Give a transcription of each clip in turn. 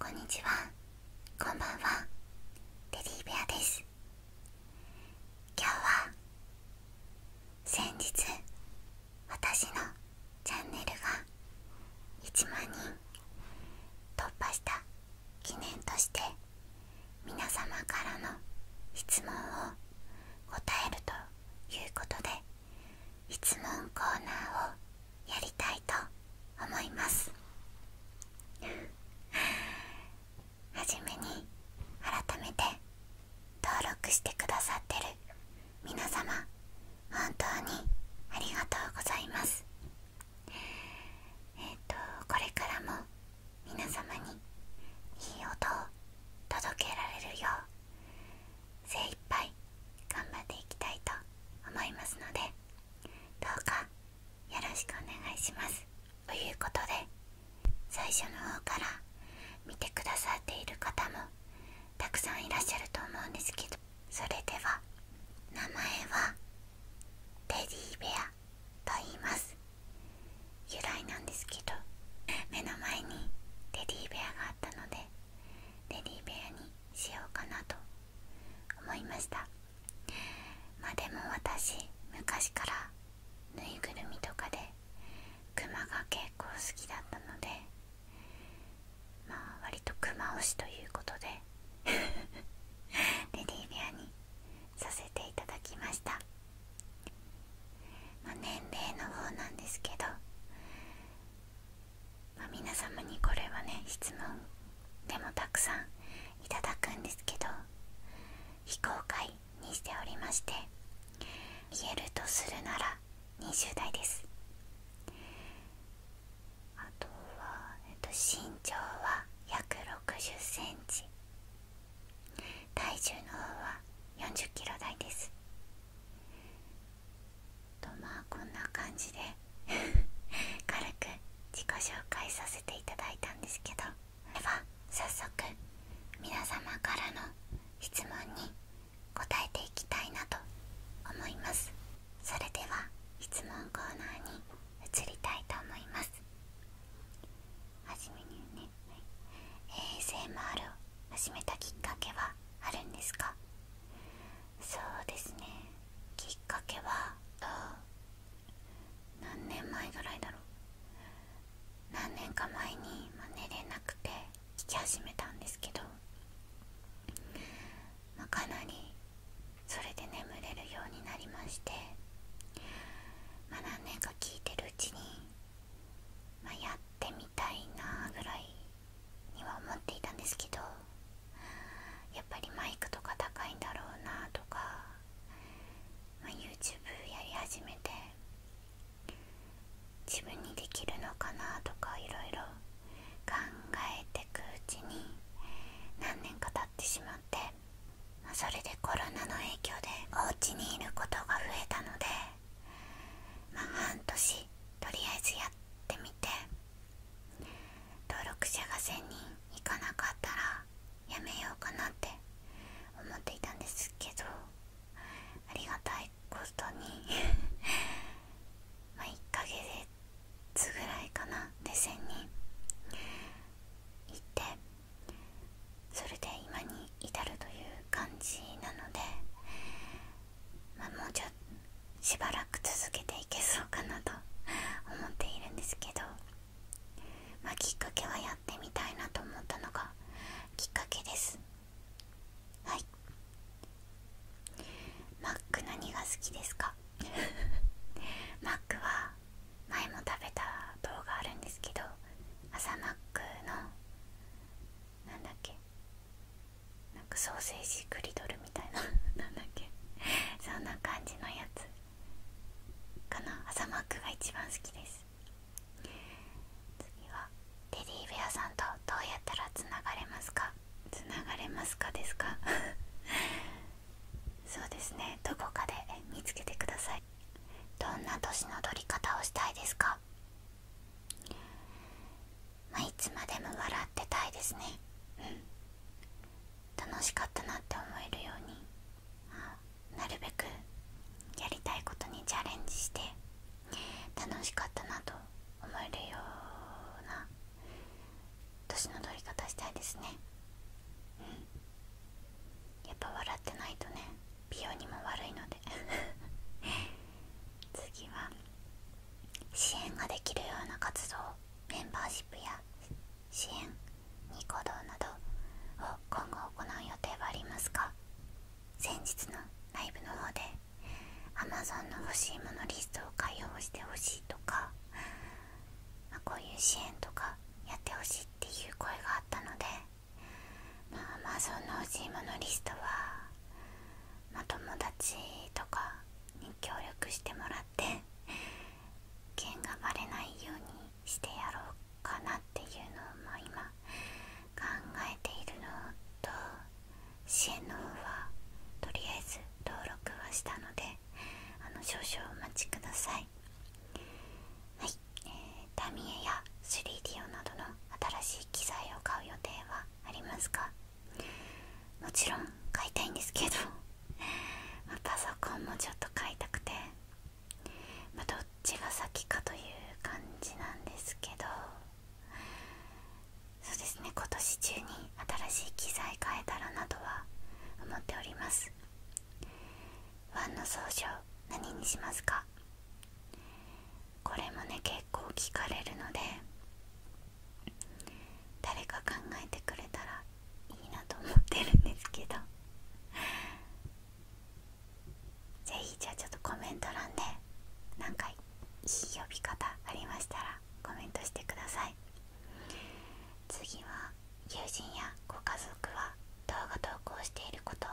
こんにちはこんばんはテディベアです今日は先日私のチャンネルが1万人突破した記念として皆様からの質問を答えるということで質問コーナーをやりたいと思いますはじめに改めて登録してくださってる皆様本当にありがとうございますえっ、とこれからも皆様にいい音を届けられるよう精一杯頑張っていきたいと思いますのでどうかよろしくお願いしますということで最初の方から見てくださっている方もたくさんいらっしゃると思うんですけどそれでは名前はテディベアと言います由来なんですけど目の前にテディベアがあったのでテディベアにしようかなと思いましたまあでも私昔からぬいぐるみとかで熊が結構好きだったのでまあ割とクマ推しということで レディーベアにさせていただきました、まあ、年齢の方なんですけどま皆様にこれはね質問でもたくさんいただくんですけど非公開にしておりまして言えるとするなら20代ですあとは、身長は約60センチ体重の方は40キロ台ですとまあこんな感じで 軽く自己紹介させていただいたんですけどでは早速皆様からの質問に答えていきたいなと思いますそれでは質問コーナーに移りたいと思いますはじめにね、はい、ASMR を始めたきっかけはあるんですかそうですねきっかけは何年前ぐらいだろう何年か前に、ま寝れなくて聞き始めたんですけど、まかなりそれで眠れるようになりまして、ま何年か聞いてるうちに、まやってみたいなぐらいには思っていたんですけどやっぱりマイクとか高いんだろうなとか、ま YouTube やり始めて自分にできるのかなとかいろいろ考えてくうちに何年か経ってしまって、まそれでコロナの影響でお家にいることが増えたので、ま半年とりあえずやってみて。登録者が1000人いかなかったらやめようかなって思っていたんですけどありがたいことに ま1ヶ月ぐらいかなで1000人いってそれで今に至るという感じなのでまもうちょっとしばらく続けていけそうかなと思っているんですけど、まきっかけはやってみたいなと思ったのがきっかけですはいマック何が好きですか マックは前も食べた動画あるんですけど朝マックの何だっけなんかソーセージクリドルみたいな何 だっけそんな感じのやつかな朝マックが一番好きです次は「テディベアさんとどうやったらつながれますか?」つながれますかですか そうですねどこかで見つけてくださいどんな年の取り方をしたいですかまあいつまでも笑ってたいですねうん楽しかったなって思えるようになるべくやりたいことにチャレンジして楽しかったなと思えるような年の取り方したいですねうんやっぱ笑ってないとね美容にも悪いので次は 支援ができるような活動メンバーシップや支援にコ動などを今後行う予定はありますか先日のライブの方で Amazon の欲しいものリストを開放してほしいとか、こういう支援とかやってほしいっていう声があったので、まあ、Amazon の欲しいものリストはま友達とかに協力してもらって剣がばれないようにしてやろうかなっていうのを今考えているのと支援の方はとりあえず登録はしたのであの少々お待ちくださいはい、えー、タミエや 3DO などの新しい機材を買う予定はありますかもちろん買いたいんですけど パソコンもちょっと買いたくて、まどっちが先かという感じなんですけどそうですね今年中に新しい機材買えたらなとは思っておりますワンの総称何にしますかこれもね結構聞かれるので誰か考えてくれたらいいなと思ってるんですけど是非 じゃあちょっとコメント欄で何かいい呼び方ありましたらコメントしてください次は友人やご家族は動画投稿していることを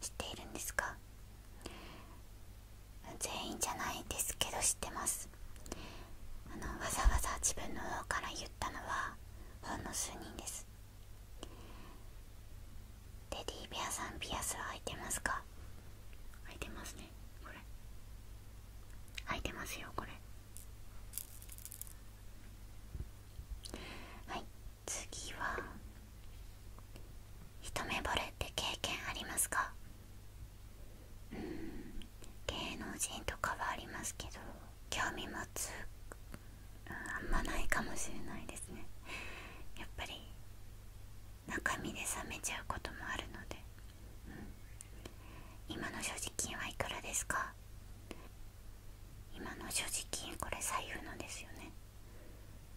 知っているんですか全員じゃないですけど知ってますあのわざわざ自分の方から言ったのはほんの数人ですデディベアさんピアスは空いてますか空いてますねこれ空いてますよこれはい次は一目惚れって経験ありますかうん芸能人とかはありますけど興味持つ、あんまないかもしれないですねやっぱり中身で冷めちゃうこともあるので、今の所持金はいくらですか今の所持金これ左右のですよね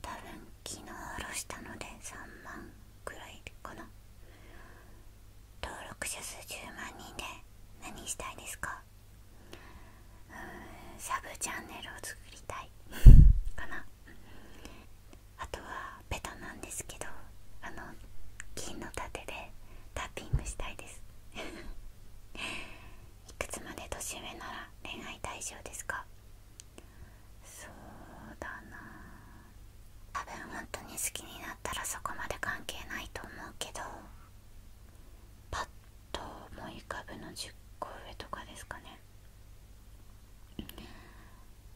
多分昨日下ろしたので3万くらいかな登録者数10万人で何したいですかうーんサブチャンネルを作りたい かなあとはベタなんですけどあの金の盾でタッピングしたいです いくつまで年上なら恋愛対象ですかそうだな多分本当に好きになったらそこまで関係ないと思うけどパッと思い浮かぶの10個上とかですかね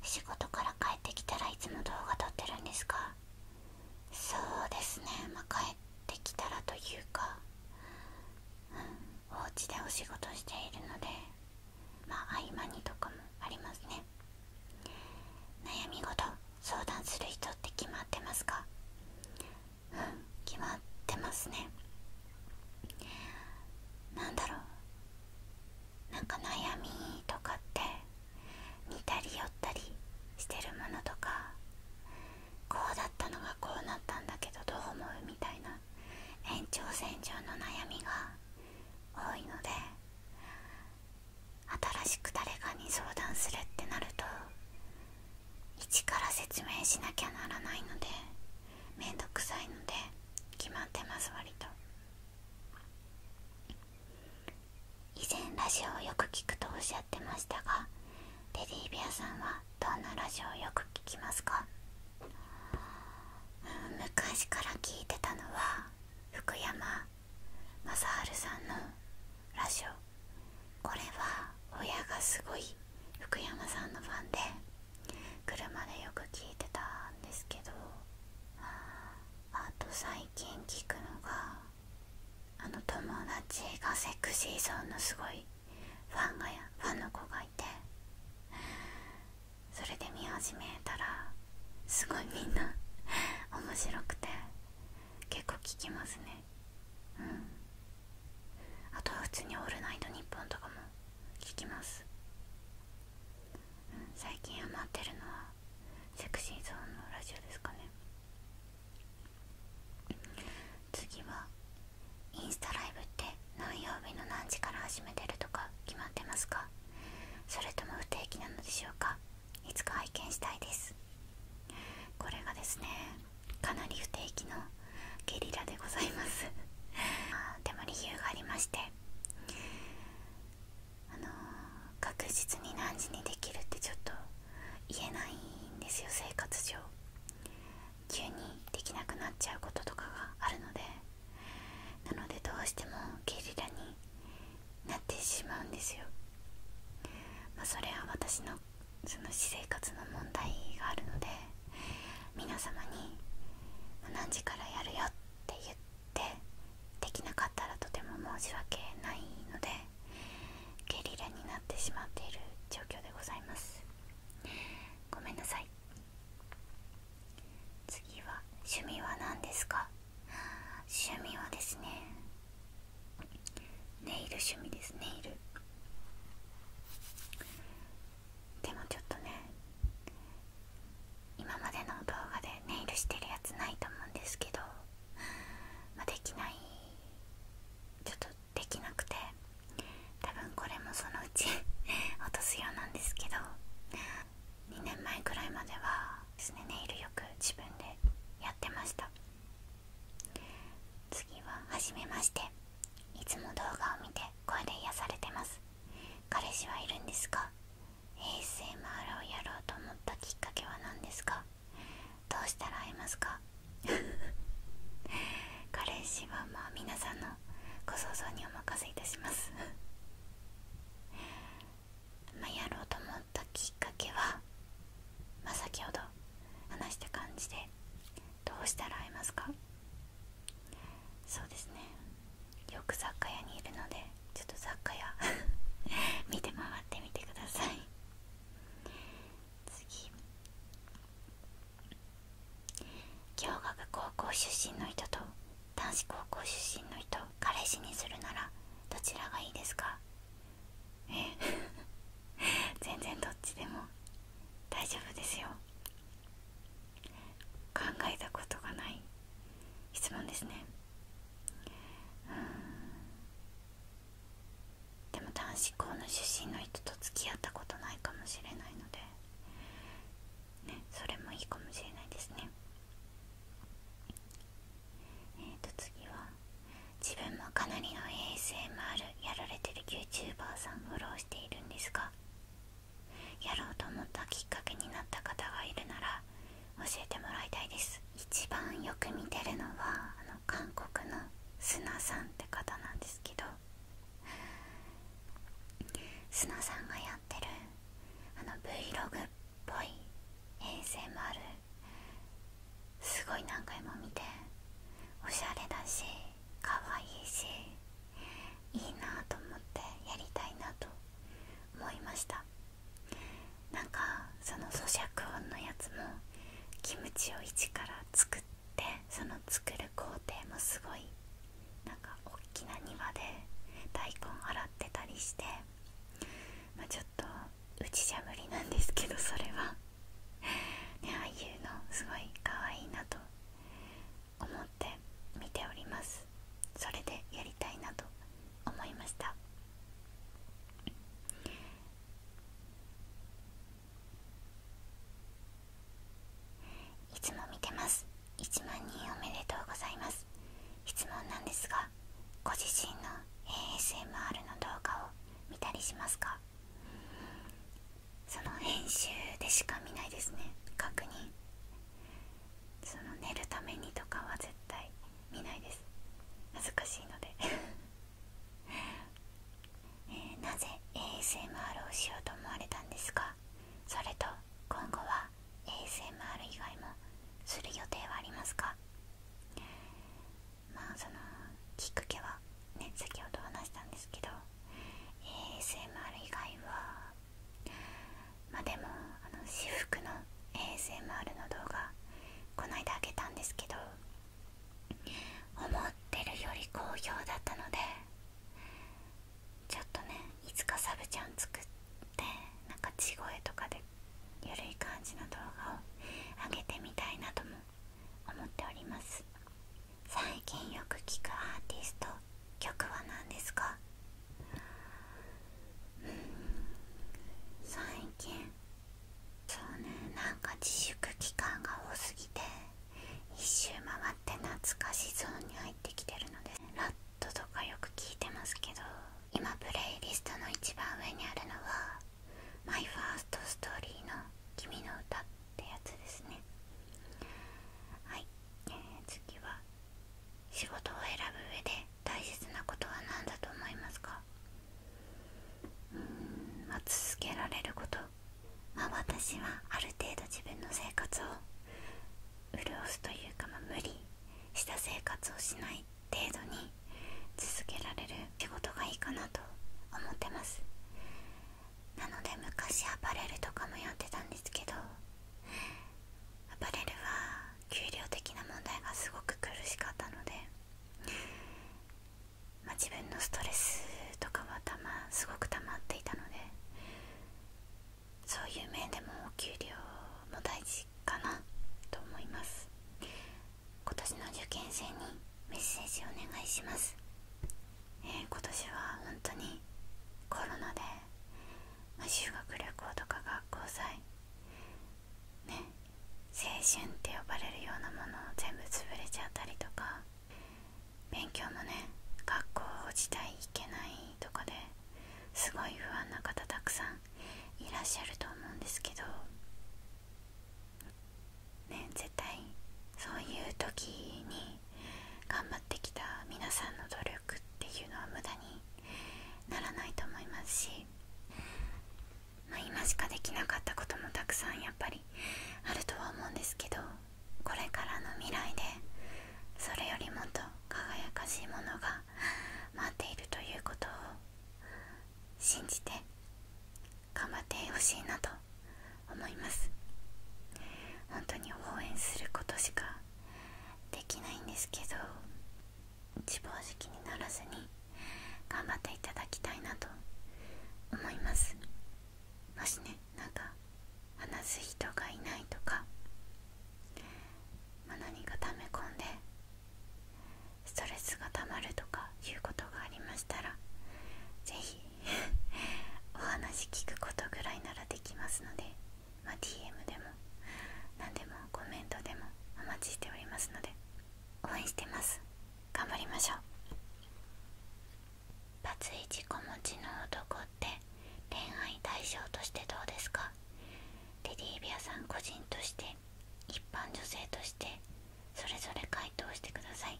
仕事から帰ってきたらいつも動画撮ってるんですかそうですねまあ帰ってきたらというかうんお家でお仕事しているのでまあ合間にとかもありますね悩み事相談する人って決まってますかうん決まってますね何だろうなんか悩みとかって似たり寄ったりしてるものとかこうだったのがこうなったんだけどどう思うみたいな延長線上の悩みが多いので新しく誰かに相談するってなると一から説明しなきゃならないので面倒くさいので決まってます割と以前ラジオをよく聞くとおっしゃってましたがテディビアさんはどんなラジオをよく聞きますか昔から聞いてたのは福山雅治さんのラジオこれは親がすごい福山さんのファンで車でよく聞いてたんですけどあと最近聞くのがあの友達がセクシーゾーンのすごいファンがファンの子がいてそれで見始めたらすごいみんな面白くて結構聞きますねうんあとは普通に「オールナイトニッポン」とかも聞きます、最近余ってるのはセクシーゾーンのラジオですかね次はインスタライブって何曜日の何時から始めてるとか決まってますかそれとも不定期なのでしょうかいつか拝見したいですこれがですねかなり不定期のゲリラでございます でも理由がありましてあの確実に何時にできるってちょっと言えないんですよ生活上急にできなくなっちゃうこととかがあるのでなのでどうしてもゲリラになってしまうんですよ、まそれは私のその私生活の問題があるので皆様に何時からやるよって言ってできなかったらとても申し訳ないのでゲリラになってしまっている状況でございますごめんなさい次は趣味は何ですか趣味はですねネイル趣味ですネイルでもちょっとね今までの動画でネイルしてるやつないと思うんですけど、まできないちょっとできなくて多分これもそのうち 落とすようなんですけど2年前くらいまではですねネイルよく自分でやってました次ははじめましていつも動画を見て声で癒されてます彼氏はいるんですか ASMR をやろうと思ったきっかけは何ですかどうしたら会えますか 彼氏はまあ皆さんのご想像にお任せいたします まやろうと思ったきっかけは、ま先ほど話した感じでどうしたら会えますかそうですねよく雑貨屋にいるのでちょっと雑貨屋 見て回ってみてください次共学高校出身の人と男子高校出身の人彼氏にするならどちらがいいですかえ 全然どっちでも大丈夫ですよ考えたことがない質問ですねうんでも男子校の出身の人と付き合ったことないかもしれないのでそれもいいかもしれないですねえーと次は自分もかなりの ASMR やられてる YouTuber さんフォローしているんですがやろうと思ったきっかけになった方がいるなら教えてもらいたいです一番よく見てるのはあの韓国の砂さんって方なんですけど砂さんがやってるあの Vlog っぽい a s ある、すごい何回も見ておしゃれだしかわいいしいいなと思ってやりたいなと思いましたなんかその咀嚼音のやつもキムチを一から作って。っその作る工程もすごいなんか大きな庭で大根洗ってたりして、まちょっとうちじゃ無理なんですけどそれはねああいうのすごい可愛いなと思って見ておりますそれでやりたいなと思いましたいつも見てます1万人おめでとうございます質問なんですがご自身の ASMR の動画を見たりしますかその編集でしか見ないですね確認その寝るためにとかは絶対見ないです恥ずかしいのでえなぜ ASMR をしようと思われたんですかそれと今後は ASMR 以外もする予定はありますかまあそのきっかけはね先をどうなしたんですけど ASMR 以外はまあでもあの私服の ASMR の動画こないだ開けたんですけど思ってるより好評だったのでちょっとねいつかサブちゃん作ってなんか地声とかでゆるい感じの動画を上げてみたいなとも思っております最近よく聞くアーティスト曲は何ですかうん最近そうねなんか自粛期間が多すぎて1周回って懐かしゾーンに入ってきてるのでラットとかよく聞いてますけど今プレイリストの一番上にあるのは「マイ・ファースト・ストーリー」の「君の歌ってやつですねはい、えー、次は仕事を選ぶ上で大切なことは何だと思いますかうーんまあ続けられることま私はある程度自分の生活を潤すというか、ま無理した生活をしない程度に続けられる仕事がいいかなと思ってますなので昔アパレルとかもやってたんですけどアパレルは給料的な問題がすごく苦しかったのでま自分のストレスとかはた、ま、すごく溜まっていたのでそういう面でもお給料も大事かなと思います今年の受験生にメッセージお願いします、え今年は本当にコロナで、ま修学旅行とか学校祭ね青春って呼ばれるようなものを全部潰れちゃったりとか勉強もね学校自体行けないとかですごい不安な方たくさんいらっしゃると思うんですけどね絶対そういう時に頑張ってきた皆さんの努力っていうのは無駄にならないと思いますし、ま今しかできなかったこともたくさんやっぱりあるとは思うんですけど。これからの未来でそれよりもっと輝かしいものが待っているということを信じて頑張ってほしいなと思います本当に応援することしかできないんですけど自暴自棄にならずに頑張っていただきたいなと思いますもしねなんか話す人がいないとか、ま何か溜め込んでストレスがたまるとかいうことがありましたら是非 お話聞くことぐらいならできますので、まあ、DM でも何でもコメントでもお待ちしておりますので応援してます頑張りましょうバツイチ子持ちの男って恋愛対象としてどうですかテディビアさん個人として一般女性としてそれぞれ回答してください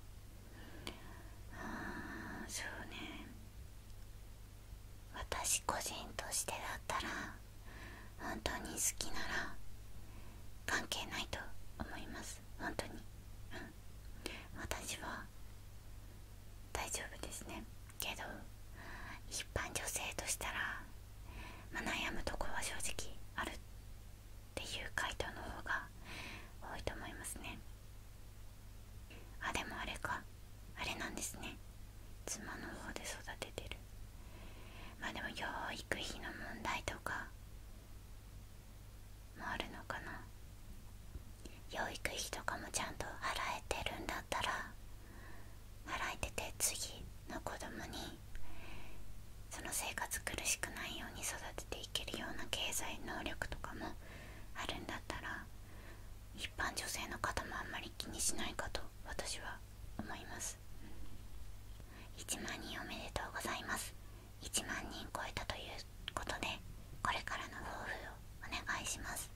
あーそうね私個人としてだったら本当に好きなら関係ないと思います本当に、うん、私は大丈夫ですねけど一般女性としたら、ま悩むとこは正直あるっていう回答の方が多いと思いますねあでもあれかあれなんですね妻の方で育ててるまあでも養育費の問題とかもあるのかな養育費とかもちゃんと払えてるんだったら払えてて次の子供にその生活苦しくないように育てていけるような経済能力とかもあるんだったら一般女性の方もあんまり気にしないかと私は思います1万人おめでとうございます1万人超えたということでこれからの抱負をお願いします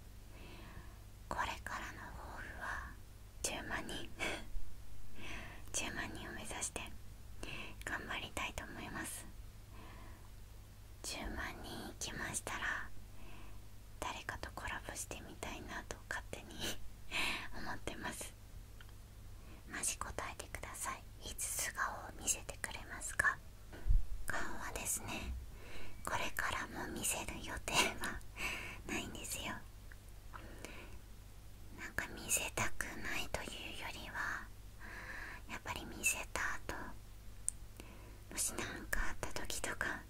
これからの抱負は10万人10 万人を目指して頑張りたいと思います10万人いきましたら誰かとコラボしてみたいなと勝手に 思ってますマジ答えてくださいいつ素顔を見せてくれますか顔はですねこれからも見せる予定はないんですよなんか見せたくないというよりはやっぱり見せた後もし何かあった時とか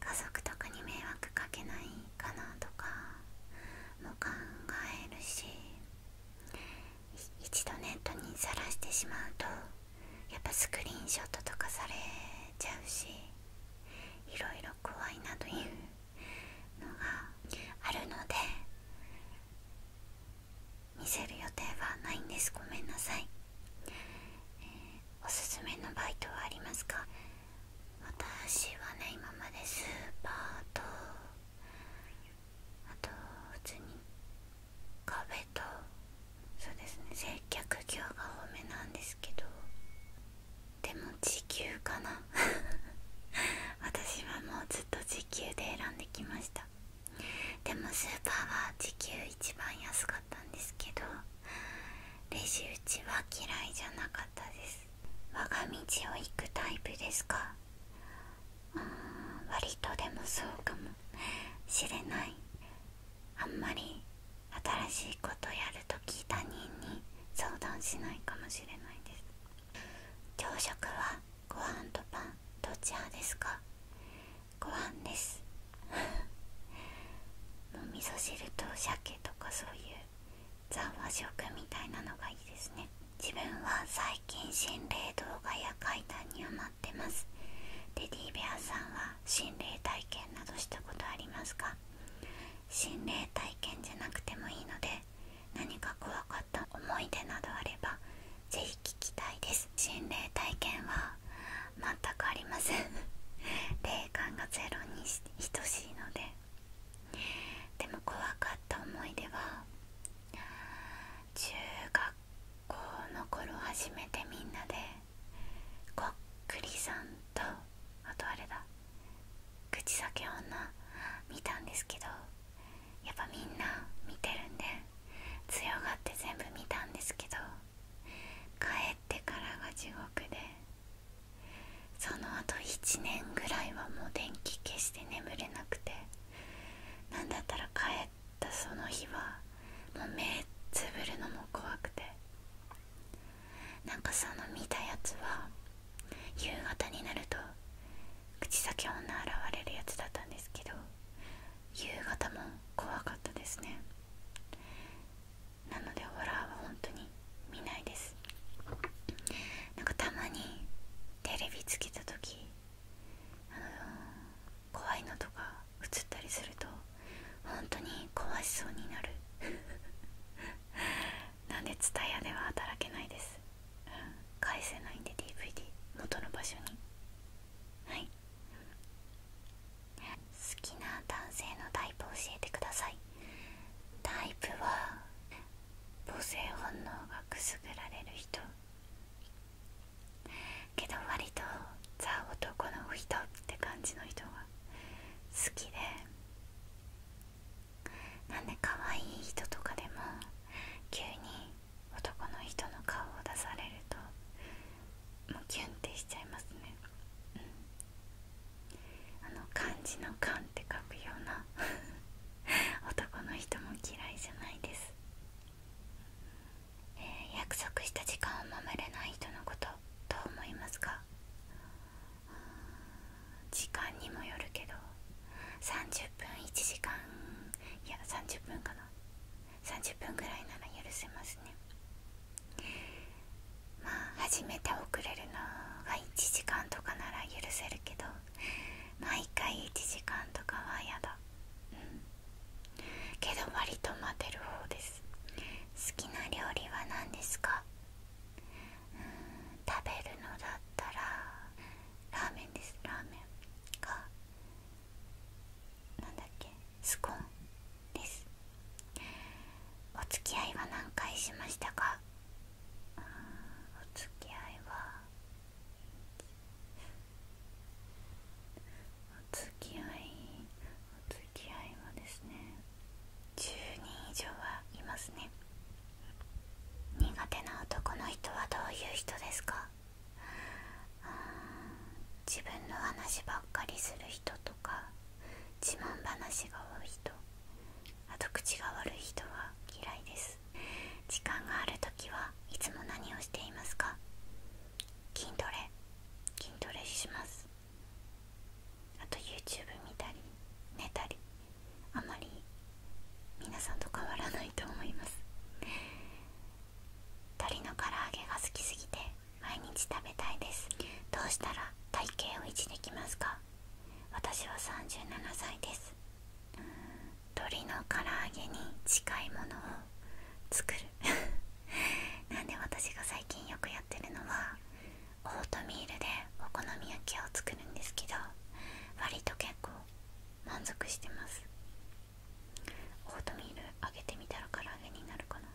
家族とかに迷惑かけないかなとかも考えるし一度ネットにさらしてしまうとやっぱスクリーンショットとかされちゃうしいろいろ怖いなというのがあるので見せる予定はないんですごめんなさい、おすすめのバイトはありますか私はね今までスパーとあと普通に壁とそうですね接客業が多めなんですけどでも時給かな 私はもうずっと時給で選んできましたでもスーパーは時給一番安かったんですけどレジ打ちは嫌いじゃなかったです我が道を行くタイプですか割とでもそうかもしれないあんまり新しいことやると聞いた人に相談しないかもしれないです朝食はご飯とパンどちらですかご飯です もう味噌汁と鮭とかそういうザ和食みたいなのがいいですね自分は最近心霊動画や階段にハマってますレディーベアさんは心霊体験などしたことありますか心霊体験じゃなくてもいいので何か怖かった思い出などあれば是非聞きたいです心霊体験は全くありません霊感がゼロに等しいのででも怖かった思い出は中学校の頃初めてみんなでこっくりさんとあとあれだ口裂け女見たんですけどやっぱみんな見てるんで強がって全部見たんですけど帰ってからが地獄でその後1年ぐらいはもう電気消して眠れなくてなんだったら帰ったその日はもう目つぶるのも怖くてなんかその見たやつは夕方になると口先女現れるやつだったんですけど夕方も怖かったですねなのでホラーは本当に見ないですなんかたまにテレビつけた時怖いのとか映ったりすると本当に怖しそうになる なんで t s u では働けないです、返せないんで DVD 元の場所にはい好きな男性のタイプ教えてくださいタイプは母性本能がくすぐられる人けど割とザ男の人って感じの人が好きでなんで可愛い人とかでも急に男の人の顔を出されるともうキュンってしちゃいますねうんあの漢字の「漢」って書くような 男の人も嫌いじゃないです、約束した時間を守れない人のことどう思いますか時間にもよるけど30分1時間いや30分かな30分ぐらいなら許せますねまあ初めて遅れるのが1時間とかなら許せるけど毎回1時間とかはやだけど割と待てる方です好きな料理は何ですか食べるのだったらラーメンですラーメンかなんだっけスコーンですお付き合いは何回しましたかお付き合いはお付き合いお付き合いはですね10人以上はいますね苦手な男の人はどういう人ですか自分の話ばっかりする人とか自慢話が多い人あと口が悪い人は嫌いです時間がある時はいつも何をしていますか筋トレ筋トレしますあと YouTube 見たり寝たりあまり皆さんと変わらないと思います鶏の唐揚げが好きすぎて毎日食べたいですどうしたら体型を維持できますか私は37歳です鶏の唐揚げに近いものを作る なんで私が最近よくやってるのはオートミールでお好み焼きを作るんですけど割と結構満足してますオートミール揚げてみたら唐揚げになるかな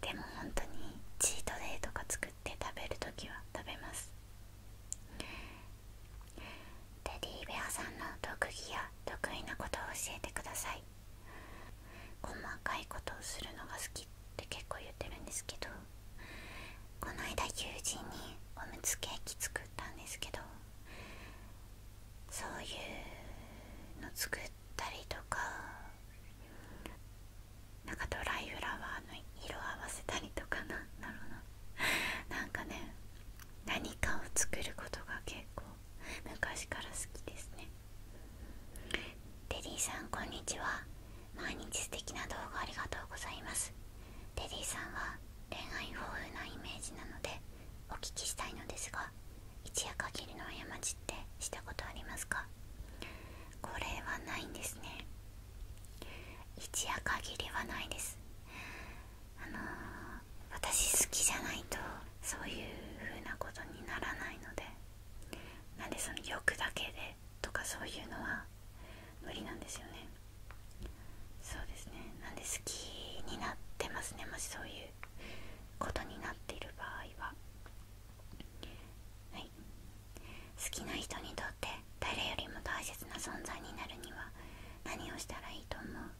でも本当にチートデイとか作って食べるときは食べますテディベアさんの特技や得意なことを教えてください細かいことをするのが好きって結構言ってるんですけどこの間友人におむつケーキ作ったんですけどそういうの作っるたりとかなんかドライフラワーの色合わせたりとかなんだろうななんかね何かを作ることが結構昔から好きですねテディさんこんにちは毎日素敵な動画ありがとうございますテディさんは恋愛豊富なイメージなのでお聞きしたいのですが一夜限りの過ちってしたことありますかこれはないんですね一夜限りはないですあの私好きじゃないとそういう風なことにならないのでなんでその欲だけでとかそういうのは無理なんですよねそうですねなんで好きになってますねもしそういうことになっている場合ははい、好きな人にとって誰よりも大切な存在になるには何をしたらいいと思う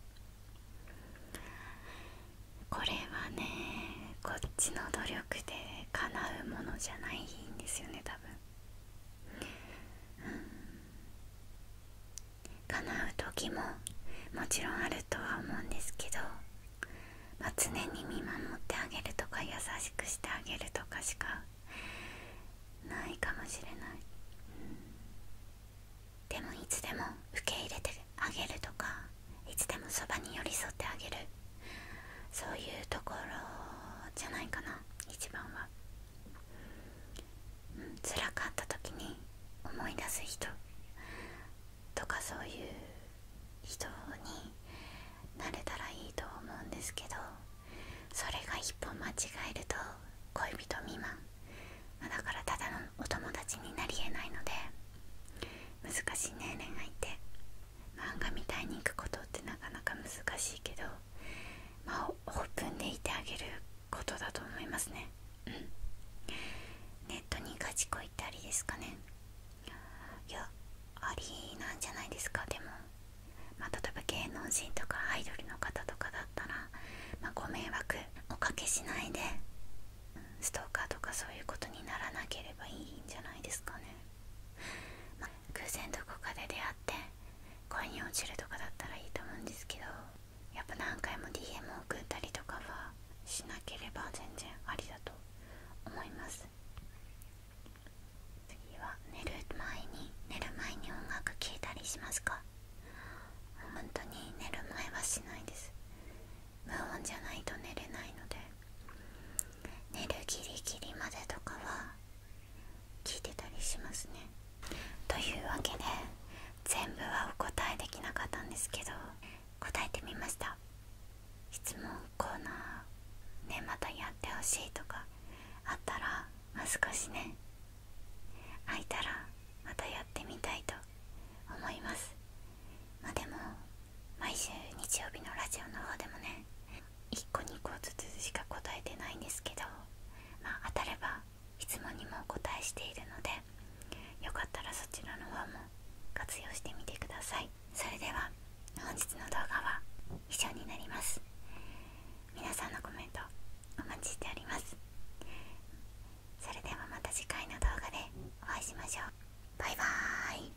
これはねこっちの努力で叶うものじゃないんですよね多分うん叶う時ももちろんあるとは思うんですけど常に見守ってあげるとか優しくしてあげるとかしかないかもしれない、でもいつでも受け入れてあげるとかいつでもそばに寄り添ってあげるそういうところじゃないかな一番は、うん、辛かった時に思い出す人とかそういう人になれたらいいと思うんですけどそれが一歩間違えると恋人未満、まだからただのお友達になりえないので難しいね恋愛って漫画みたいに行くことってなかなか難しいけどまあオープンでいてあげることだと思いますねうんネットに置いりですかねいやありなんじゃないですかでも、まあ、例えば芸能人とかアイドルの方とかだったら、まあ、ご迷惑おかけしないでストーカーとかそういうことにならなければいいんじゃないですかね、まあ、偶然どこかで出会って恋に落ちるとかだったらいいと思うんですけどやっぱ何回も DM 送ったりとかはしなければ全然ありだと思います次は寝る前に寝る前に音楽聴いたりしますか本当に寝る前はしないです無音じゃないと寝れないので寝るギリギリまでとかは聞いてたりしますねというわけで全部はお答えできなかったんですけど答えてみました質問コーナーねまたやってほしいとかあったらもう少しね開いたらまたやってみたいと思いますまでも毎週日曜日のラジオの方でもね1個2個ずつしか答えてないんですけどま当たれば質問にもお答えしているのでよかったらそちらの方も活用してみてくださいそれでは本日の動画は以上になります皆さんのコメントお待ちしておりますそれではまた次回の動画でお会いしましょうバイバーイ